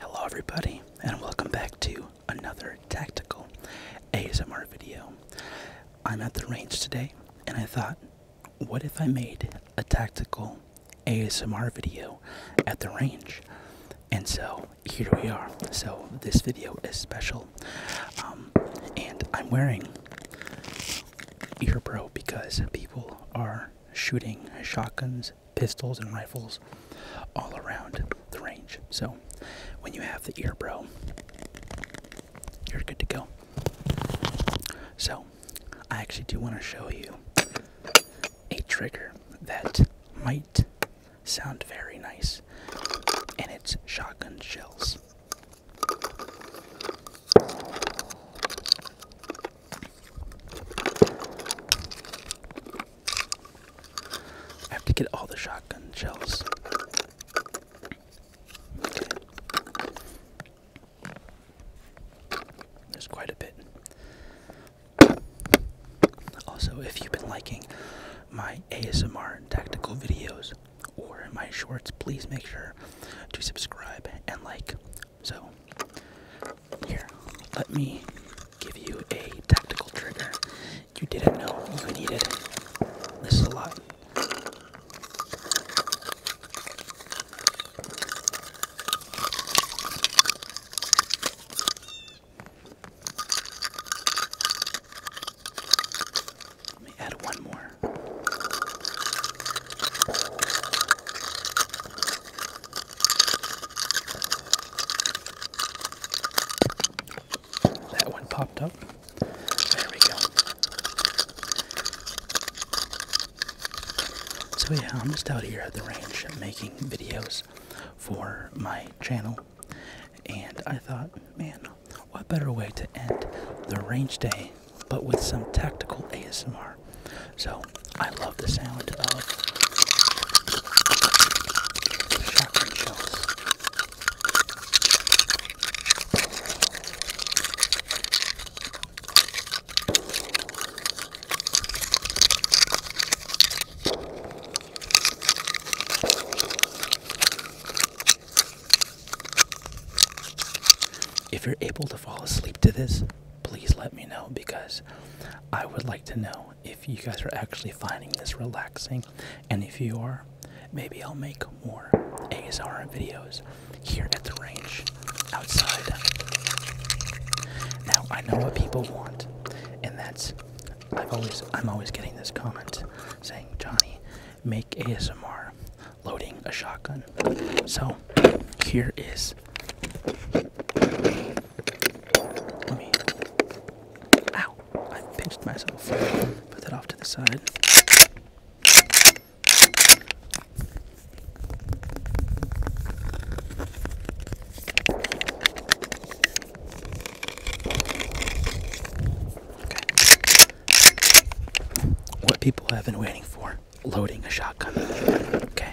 Hello, everybody, and welcome back to another tactical ASMR video. I'm at the range today, and I thought what if I made a tactical ASMR video at the range? And so here we are. So this video is special. Um, and I'm wearing Earbro because people are shooting shotguns, pistols, and rifles all around the range. So when you have the Earbro, you're good to go. So I actually do want to show you a trigger that might sound very nice, and it's shotgun shells. I have to get all the shotgun shells. There's quite a bit. Also, if you've been liking my ASMR tactical videos or my shorts, please make sure to subscribe and like. So, here, let me give you a tactical trigger you didn't know you needed. This is a lot. Let me add one more. That one popped up. So yeah, I'm just out here at the range making videos for my channel. And I thought, man, what better way to end the range day but with some tactical ASMR. So I love the sound of shotgun shells. If you're able to fall asleep to this, please let me know because I would like to know if you guys are actually finding this relaxing. And if you are, maybe I'll make more ASR videos here at the range outside. Now I know what people want, and that's I've always I'm always getting this comment saying, Johnny, make ASMR loading a shotgun. So here is Ow, I pinched myself. Put that off to the side. What people have been waiting for loading a shotgun. Okay.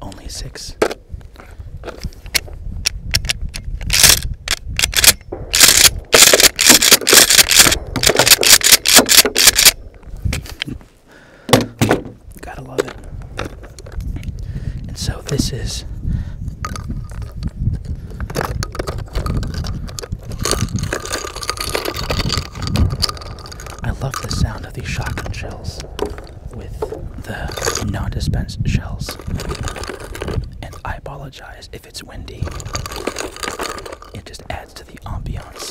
Only six. Gotta love it. And so this is. I love the sound of these shotgun shells with the non dispensed shells. And I apologize if it's windy, it just adds to the ambiance.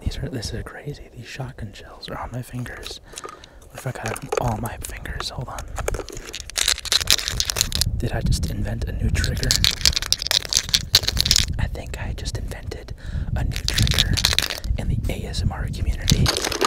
These are this is crazy. These shotgun shells are on my fingers. What if I got them all my fingers? Hold on. Did I just invent a new trigger? I think I just invented a new trigger in the ASMR community.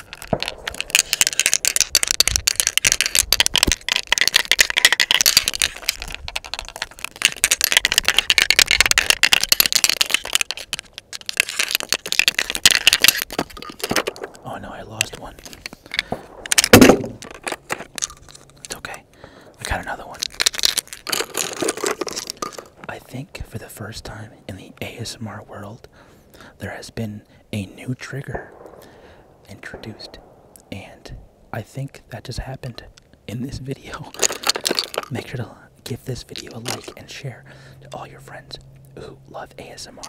Oh no, I lost one. It's okay. I got another one. I think for the first time in the ASMR world, there has been a new trigger introduced, and I think that just happened in this video. Make sure to give this video a like and share to all your friends who love ASMR.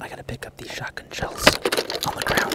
I gotta pick up these shotgun shells on the ground.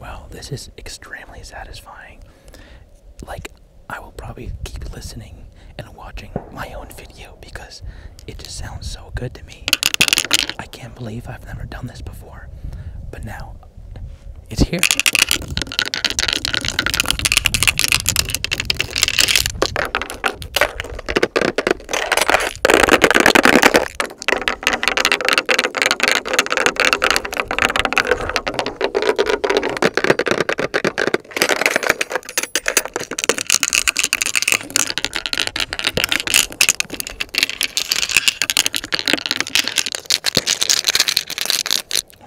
Well, this is extremely satisfying. Like, I will probably keep listening and watching my own video because it just sounds so good to me. I can't believe I've never done this before. But now, it's here. Oh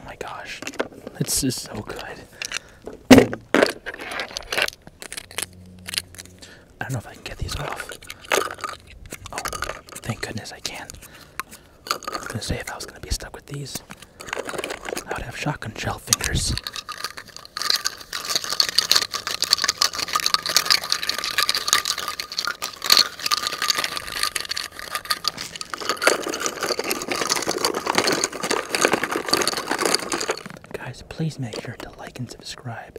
my gosh, this is so good. I don't know if I can get these off. Oh, thank goodness I can. I am gonna say if I was gonna be stuck with these, I would have shotgun shell fingers. Guys, please make sure to like and subscribe.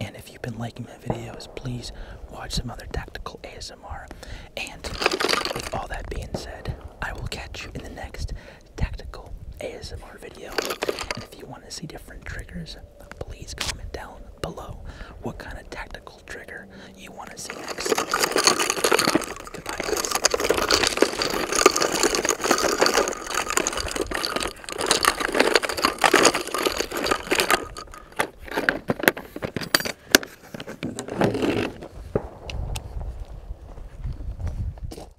And if you've been liking my videos, please watch some other tactical ASMR. And with all that being said, I will catch you in the next tactical ASMR video. And if you want to see different triggers, please comment down below what kind of tactical trigger you want to see next. Goodbye,